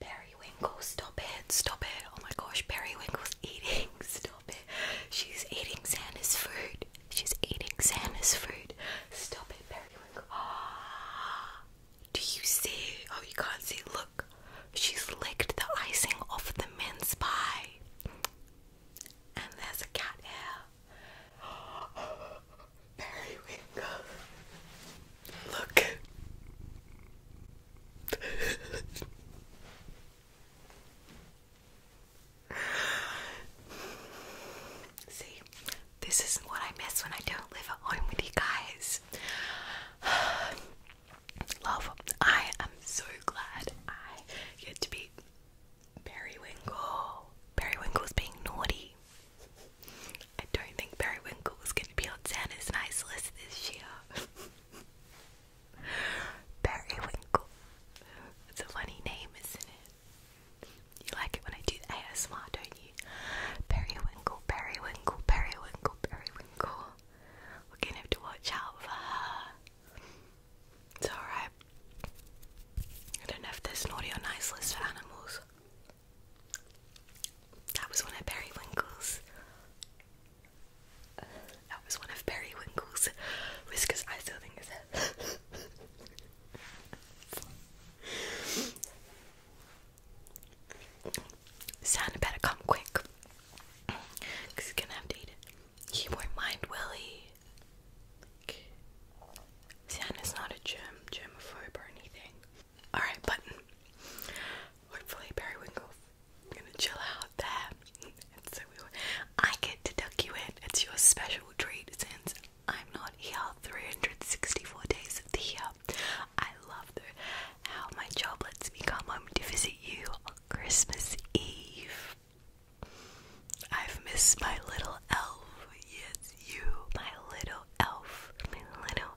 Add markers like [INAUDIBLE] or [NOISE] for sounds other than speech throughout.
Periwinkle, stop it, stop it. Oh my gosh, Periwinkle's eating. [LAUGHS] Stop it. She's eating Santa's food. She's eating Santa's food. Stop it, Periwinkle. Oh, [GASPS] do you see? Oh, you can't see. Look, she's licked the icing off the mince pie. And there's a cat hair. [GASPS] Periwinkle. Look. See, this is what I miss when I don't live at home with you guys. [SIGHS] Love, I am so glad I get to be Periwinkle. is being naughty. I don't think Periwinkle is going to be on Santa's nice list this year. [LAUGHS] Periwinkle. It's a funny name, isn't it? You like it when I do ASMR, don't you? Periwinkle, periwinkle, periwinkle, periwinkle. We're going to have to watch out for her. It's alright. I don't know if there's naughty or nice list for animals. That was one of Periwinkle's. Winkle's. that was one of Periwinkle's whiskers. I still think it's Santa better come quick. he's gonna have to eat it. He won't mind, will Santa's not a germ, germaphobe or anything. Alright, but hopefully Periwinkle's gonna chill out there. It's so I get to tuck you in. It's your special treat since I'm not here 364 days of the year. I love how my job lets me come home to visit you on Christmas Eve. I've missed my little elf. Yes, you, my little elf. little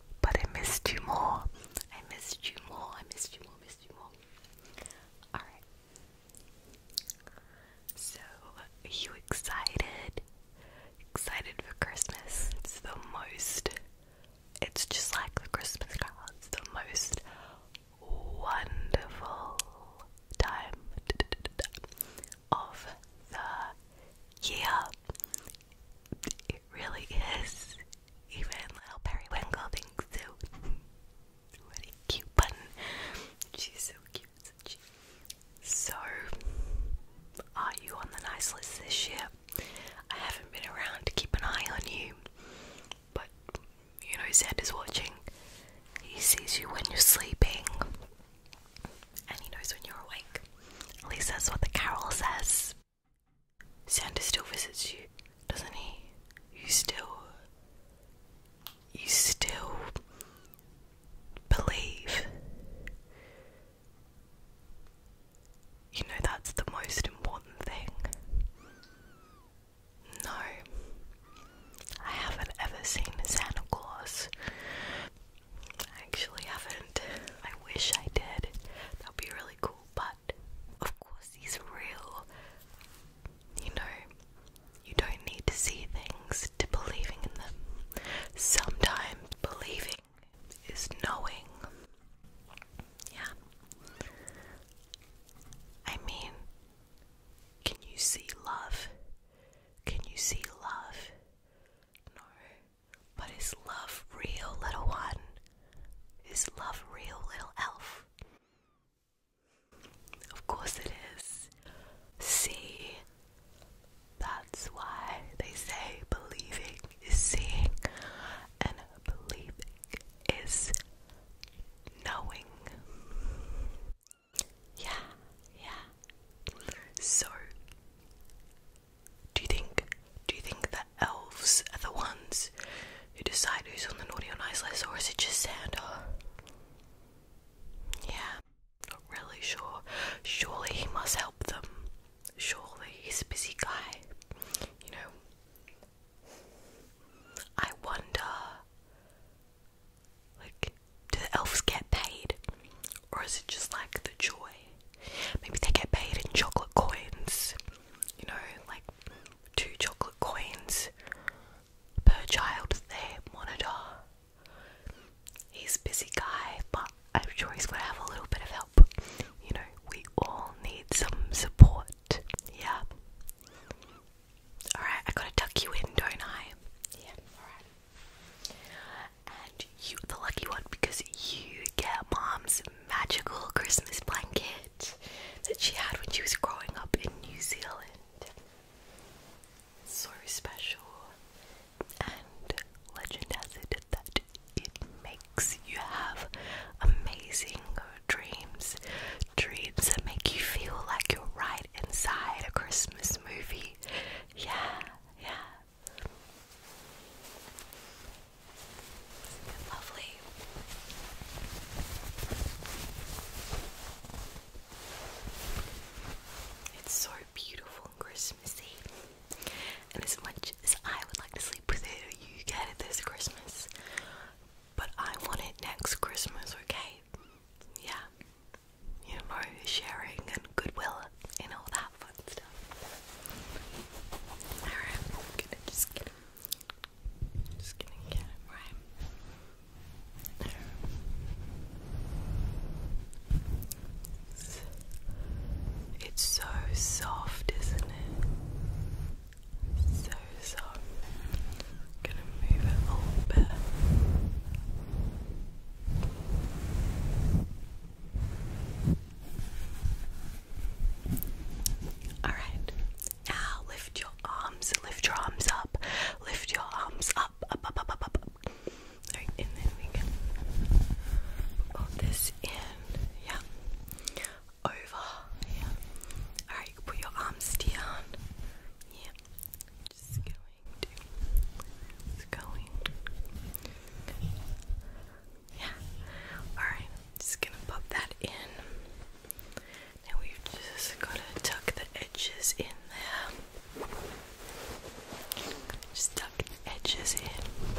but I missed you more. I missed you more. I missed you more. Missed you more. All right. So, are you excited? Excited for Christmas? It's the most. It's just like the Christmas cards. The most wonderful time of the year. It really is. Even little periwinkle thinks so. what cute button. She's so cute. She? So, are you on the nice list this year? I haven't been around to keep an eye on you, but you know, Zed is watching. He sees you when you're sleeping, and he knows when you're awake. At least that's what the carol says. Santa still visits you, doesn't he? You still. You still. believe. You know that's the most important thing. No, I haven't ever seen Santa Claus. I actually haven't. I wish I did. That would be really cool, but of course, he's real. You know, you don't need to see things to believing in them. Sometimes believing is knowing. Yeah. I mean, can you see love? Can you see love? No. But is love real, little one? Is love real, little elf? Of course it is. See, that's why they say believing is seeing, and believing is knowing. Yeah, yeah. So, do you think do you think the elves are the ones who decide who's on the naughty or nice list or is it just Santa? Yeah, not really sure. Surely he must help them. Surely he's a busy guy. You know. I wonder like do the elves get paid? Or is it just like the joy Maybe they get paid in chocolate coins, you know, like two chocolate coins per child they monitor. He's busy guy, but I'm sure he's gonna have a little bit of help. You know, we all need some support, yeah. Alright, I gotta tuck you in, don't I? Yeah, alright and you the lucky one because you get mom's magical Christmas blanket that she had when she was growing up in New Zealand. So special and legend has it that it makes you have amazing dreams. Dreams that make you feel like you're right inside a Christmas movie. Yeah, yeah lovely? It's so beautiful and Christmassy. And as much as I would like to sleep with it, you get it this Christmas. But I want it next Christmas, okay? Yeah. You know, sharing and goodwill and all that fun stuff. Alright, i gonna just gonna get it right there. It's, so soft, isn't it? So soft. gonna move it a little bit. Alright, now lift your arms, lift your arms up, lift your arms up, up, up, up, Alright, and then we can put this in, yeah, over, yeah. Alright, put your arms down, yeah. Just go it's yeah alright just gonna pop that in now we just gotta tuck the edges in there just tuck edges in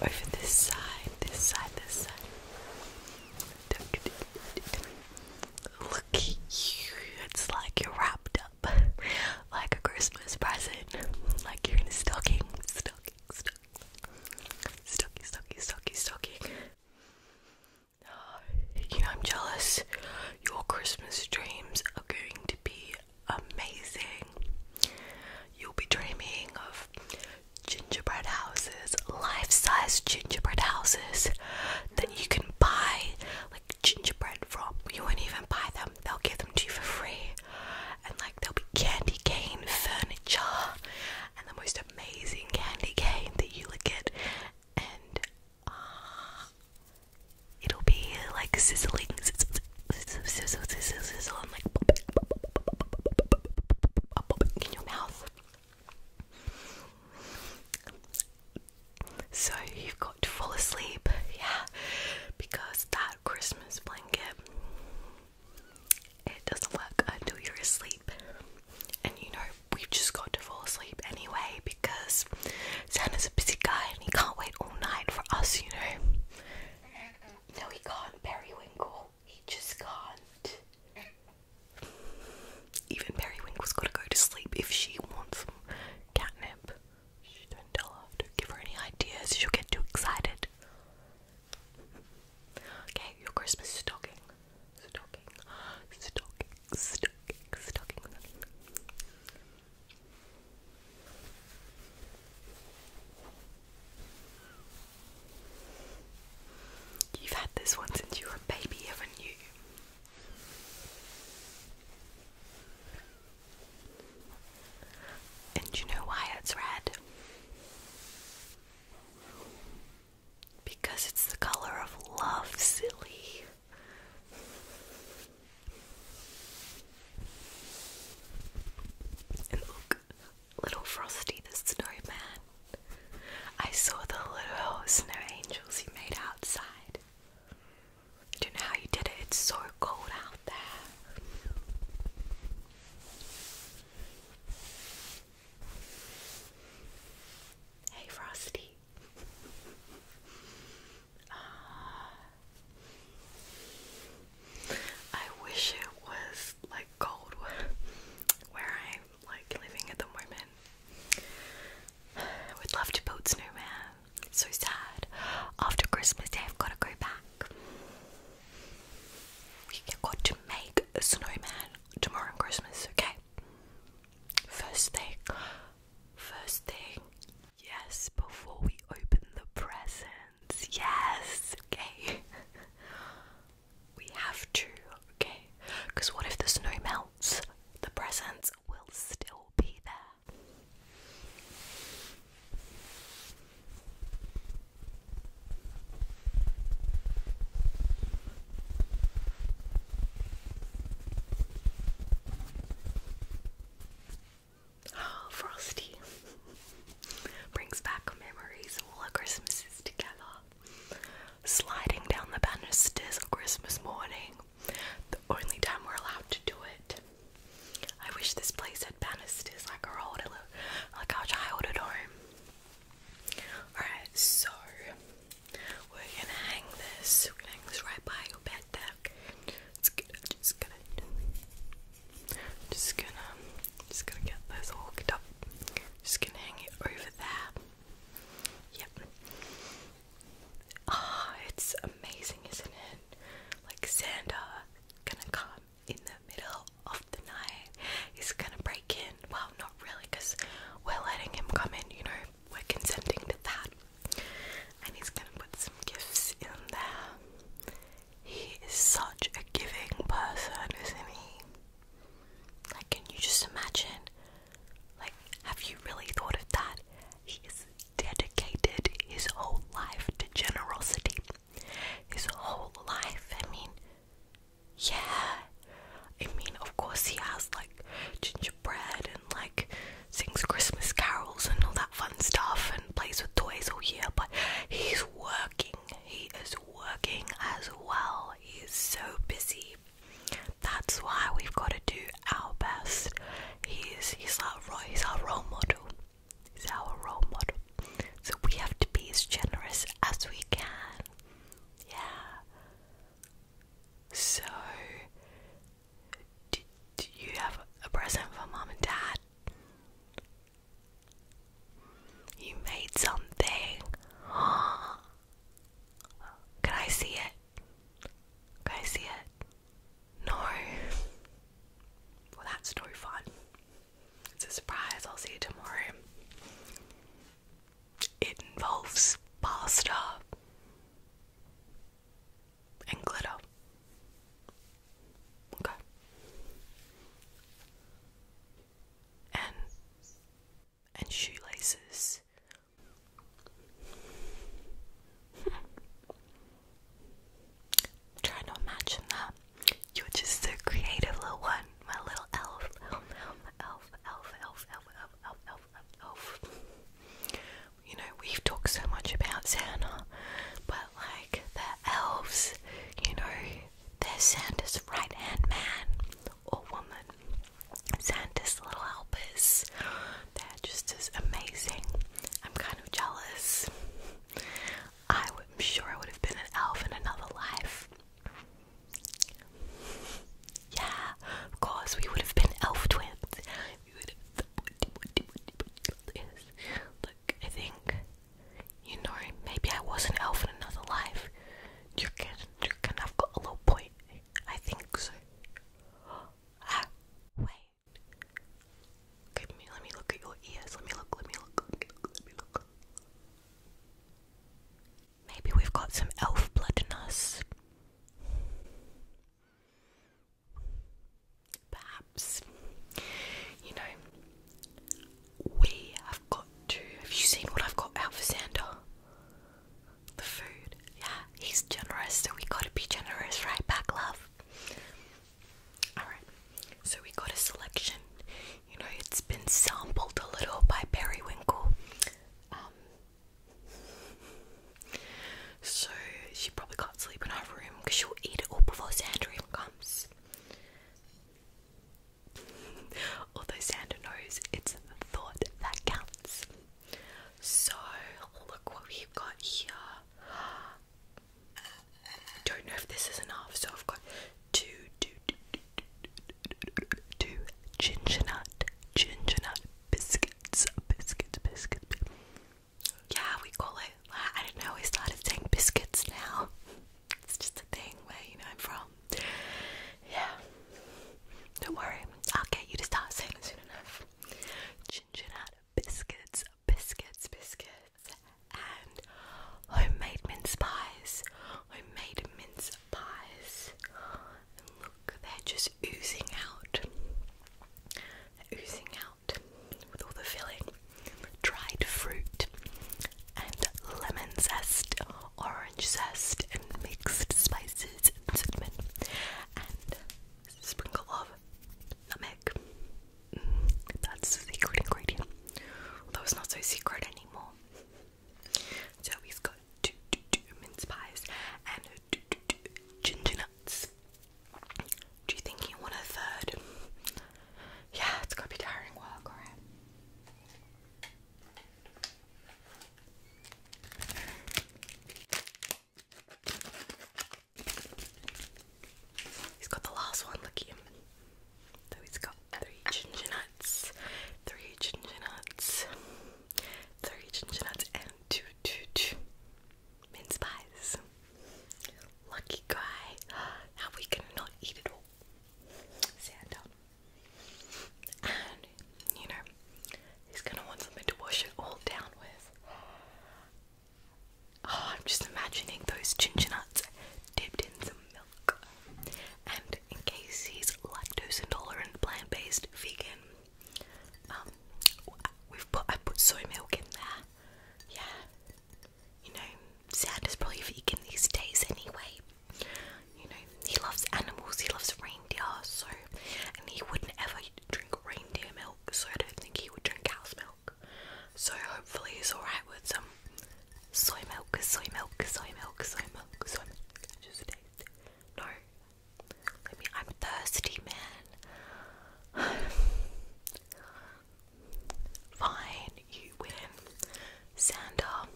over this side this side this side Look it's like you're wrapped up. [LAUGHS] like a Christmas present, like you're in a stocking, stocking, stocking, stocking, stocking, You know, I'm jealous. Your Christmas dreams are going to be amazing. You'll be dreaming of gingerbread houses, life size gingerbread houses that you can buy, gingerbread from. You won't even buy them, they'll give them to you for free. And like there'll be candy cane furniture and the most amazing candy cane that you look at and uh, it'll be like sizzling sizzle sizzle sizzle sizzle and like popping, popping, popping in your mouth. So you've got to fall asleep, [LAUGHS] yeah, because that Christmas blanket it doesn't work until you're asleep. And you know, we've just got to fall asleep anyway because Santa's a busy guy and he can't wait all night for us, you know. No, he can't, Periwinkle. He just can't. Even Periwinkle's got to go to sleep if she wants catnip. Shh, don't tell her. Don't give her any ideas. She'll get too excited. Okay, your Christmas stocking. Stocking. Stocking. Stocking. Stocking. You've had this one since you were a baby, haven't and you know why it's red? Because it's the color of love, silly. And look, little Frosty the snowman. I saw the little snow angels he made outside do you know how you did it, it's so cold out there. Hey Frosty. Ah. I wish it was like cold [LAUGHS] where I'm like living at the moment. Would love to build snowman. So sad. After Christmas Day, I've got to go back. we have got to make a snowman tomorrow on Christmas, okay? First thing, first thing, yes, before we open the presents, yes, okay? [LAUGHS] we have to, okay? Because what if the snow melts? The presents marks will still be there. Oh, Frosty [LAUGHS] brings back memories of all our Christmases together. Sliding down the banisters on Christmas morning the only time we're allowed to do it. I wish this place had banisters like our old, like our childhood home. Alright, so we're gonna hang this. We're gonna hang this right by your bed there. Just gonna, just gonna, just gonna, just gonna get this hooked up. Just gonna hang it over there. Yep. Ah, it's amazing, isn't it? Like Santa gonna come in the middle of the night. He's gonna break in. Well, not really, because we're letting him come in, you know, we're consenting to that. And he's gonna put some gifts in there. He is such a giving person, isn't he? Like, can you just imagine like, have you really thought of that? He has dedicated his whole life to generosity. His whole life. I mean, yeah. I mean, of course, he has like gingerbread and like sings Christmas carols and all that fun stuff and plays with toys all year, but he's working. He is working as well. He is so busy that's why we've got to do our best. He's he's our he's our role model. He's our role model. So we have to be as generous as we can. Yeah. So do, you have a present for mum and dad? You made something. [GASPS] Can I see it? Guys, see it? No. Well, that's no fun. It's a surprise. I'll see you tomorrow. It involves pasta and glitter. Okay. And and shoelaces. Try to imagine that. You're just so creative, little one. My little elf, elf, elf, elf, elf, elf, elf, elf, elf, elf, elf. You know, we've talked so much about Santa, but like the elves, you know, they're Santa's right hand man or woman. Santa's Little Helpers. They're just as amazing. I'm kind of jealous. I'm sure I would have been an elf in another life. Yeah, of course, we would have been elf twins. Look, I think, you know, maybe I was an elf in another life. You can, you can, I've got a little boy I think so. [GASPS] Ah, wait. Okay, me, let me look at your ears. Let me look, let me look, let me look, let me look. Maybe we've got some elf blood in us. Perhaps. You know, we have got to. Have you seen what I've got out the food. Yeah, he's generous, so we gotta be generous right back, love. Alright, so we got a selection. You know, it's been sampled a little by Periwinkle. Um, so she probably can't sleep in her room because she'll eat it all before Sandra even comes. Although Santa knows it's the thought that counts. So, look what we've got here. Don't know if this is enough, so I've got two, two, two, two, two, two ginger nut, ginger nut biscuits, biscuits, biscuits. Yeah, we call it. I don't know. We started saying biscuits now. It's just a thing where you know I'm from yeah. Don't worry, I'll get you to start saying soon enough. Ginginette biscuits, biscuits, biscuits, and homemade mince pies. Homemade mince pies. And look, they're just oozing out. oozing out with all the filling. Dried fruit and lemon zest, orange zest, and mixed spices and cinnamon, and sprinkle of nutmeg. Mm, that's the secret ingredient. That was not so secret anymore. So we've got do do do mince pies and do do do ginger nuts. Do you think you want a third? Yeah, it's gotta be tiring work, alright? He's got the last one, look at him. So he's got three ginger nuts, three ginger nuts, three ginger nuts, and two, two, two mince pies. Lucky guy. [GASPS] Now we can not eat it all. Santa. And, you know, he's gonna want something to wash it all down with. Oh, I'm just imagining those ginger nuts dipped in some milk. And in case he's lactose intolerant, plant based, vegan, um, we've put I put soy milk in there. Yeah, you know, sand is probably vegan these days anyway. You know, he loves animals, he loves reindeer, so and he wouldn't ever drink reindeer milk, so I don't think he would drink cow's milk. So hopefully he's alright with some soy milk, soy milk, soy milk, soy milk, soy milk. Just taste. No. I mean I'm thirsty man. [SIGHS] Fine, you win. Santa,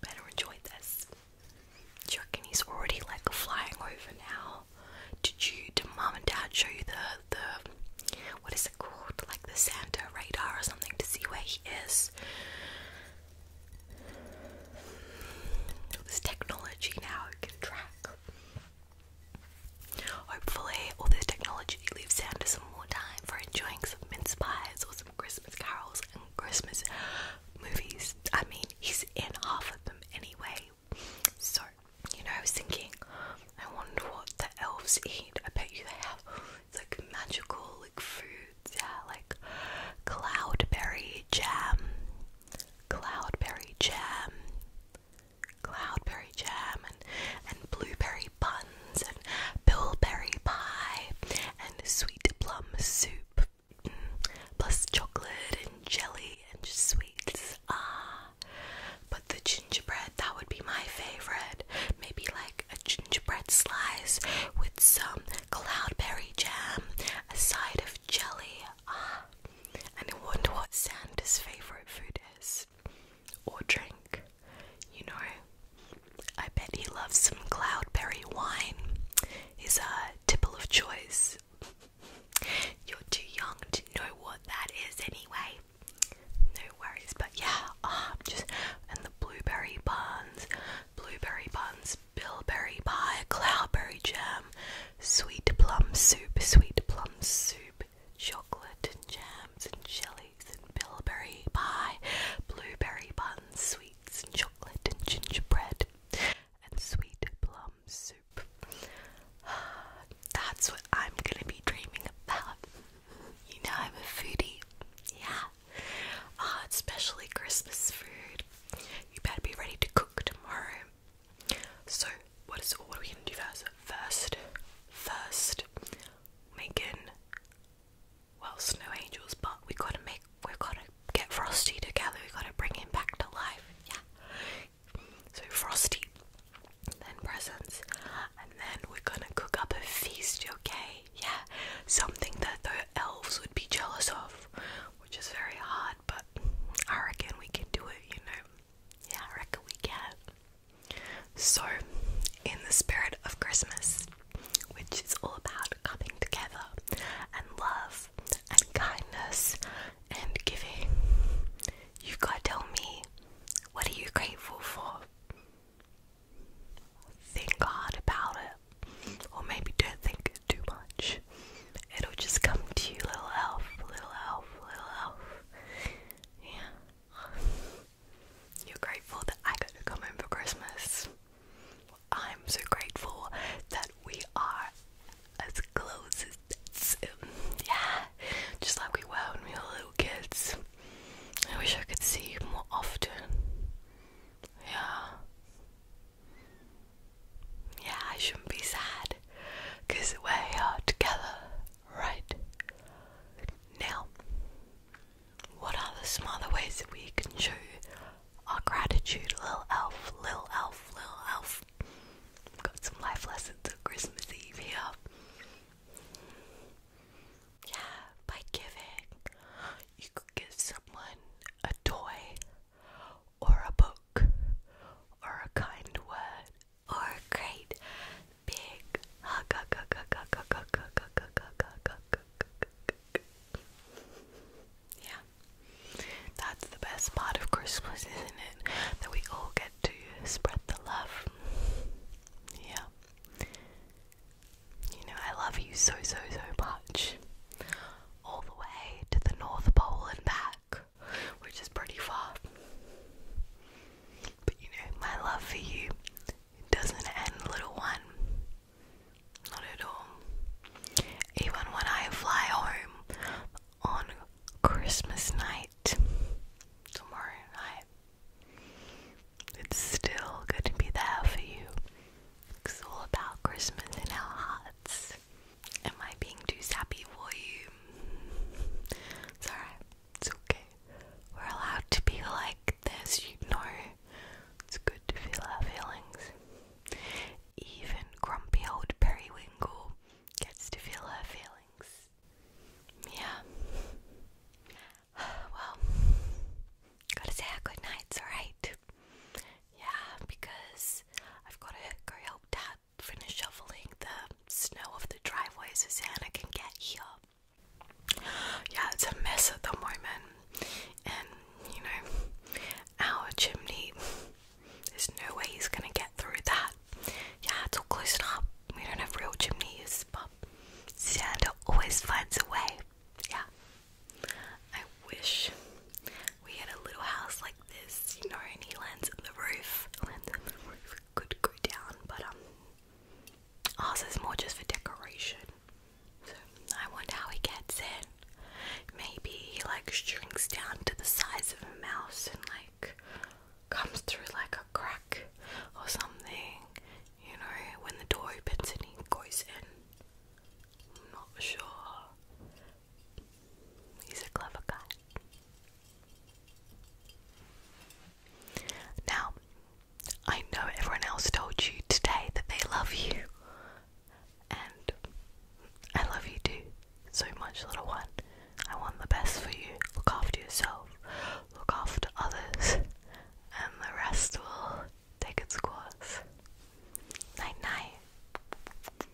better enjoy this. Do you he's already like flying over now? Did you, did mom and dad show you the, the, what is it called? Like the Santa radar or something to see where he is? this technology now can track. Hopefully, all this technology leaves Santa some more time for enjoying some mince pies or some Christmas carols and Christmas movies. I mean, he's in half of them anyway. So, you know, I was thinking, I wonder what the elves eat. I bet you they have like magical like foods, yeah, like cloudberry jam, cloudberry jam, cloudberry jam, and, blueberry buns and bilberry pie and sweet plum soup mm, plus chocolate and jelly and sweets. Ah, but the gingerbread that would be my favorite. Maybe like a gingerbread slice with some cloudberry jam, a side of jelly. Ah, and I wonder what Santa's favorite food is or drink, you know. I bet he loves some cloudberry wine, his uh, tipple of choice. You're too young to know what that is anyway. No worries, but yeah, ah, just and the blueberry buns, blueberry buns, bilberry pie, cloudberry jam, sweet plum soup, sweet plum soup, chocolate and jams and jelly lollies and bilberry pie, blueberry buns, sweets and chocolate and gingerbread, and sweet plum soup. [SIGHS] That's what I'm gonna be dreaming about. You know, I'm a foodie. Yeah. Oh, especially Christmas food. You better be ready to cook tomorrow. So, what is all? what are we gonna do first? First, first, making well snow angels, but we gotta make we gotta get Frosty together. We gotta bring him back to life. Yeah. So Frosty, then presents, and then we're gonna cook up a feast. Okay. Yeah. Something that the elves would be jealous of, which is very hard, but I reckon we can do it. You know. Yeah, I reckon we can. So, in the spirit of Christmas, which is all about coming together and love and kindness and giving, you gotta tell me what are you grateful for? Think hard about it, or maybe don't think too much. It'll just come to you, little elf, little elf, little elf. Yeah. You're grateful that I got to come home for Christmas. I'm so grateful that we are as close as, um, yeah, just like we were when we were little kids. I wish I could see you more often. Yeah. Yeah, I shouldn't be sad because we're together Right. Now, what are the smarter ways that we can show our gratitude, little elf, little elf, little elf? got some life lessons on Christmas Eve here. Yeah, by giving. You could give someone a toy, or a book, or a kind word, or great big hug. Yeah, that's the best part of Christmas, isn't it? That we all get to spread the love. Yeah. You know, I love you so, so, so much. All the way to the North Pole and back, which is pretty far. But you know, my love for you doesn't end, little one. Not at all. Even when I fly home on Christmas night, tomorrow night, it's still going to be there for you. It's all about Christmas in our hearts. Am I being too sappy for you? It's it's okay. We're allowed to be like this, you know. It's good to feel our feelings. Even grumpy old periwinkle gets to feel her feelings. Yeah. [SIGHS] Well, gotta say our good nights, alright? Yeah, because I've gotta go help dad finish shoveling the snow off the driveway so Santa can get here. Yeah, it's a mess at the moment, and you know, our chimney, there's no way he's gonna get through that. Yeah, it's all closed up. We don't have real chimneys, but Santa always finds a way. Yeah, I wish we had a little house like this, you know, and he lands on the roof. Lands on the roof could go down, but um, ours is more just for decoration. So I wonder how he gets in. Maybe he like shrinks down to the size of a mouse and like comes through like a crack or something. You know, when the door opens and he goes in. not sure. He's a clever guy. Now, I know everyone else told you today that they love you, and I love you too so much, little one. I want the best for you. Look after yourself, look after others, and the rest will take its course. Night night.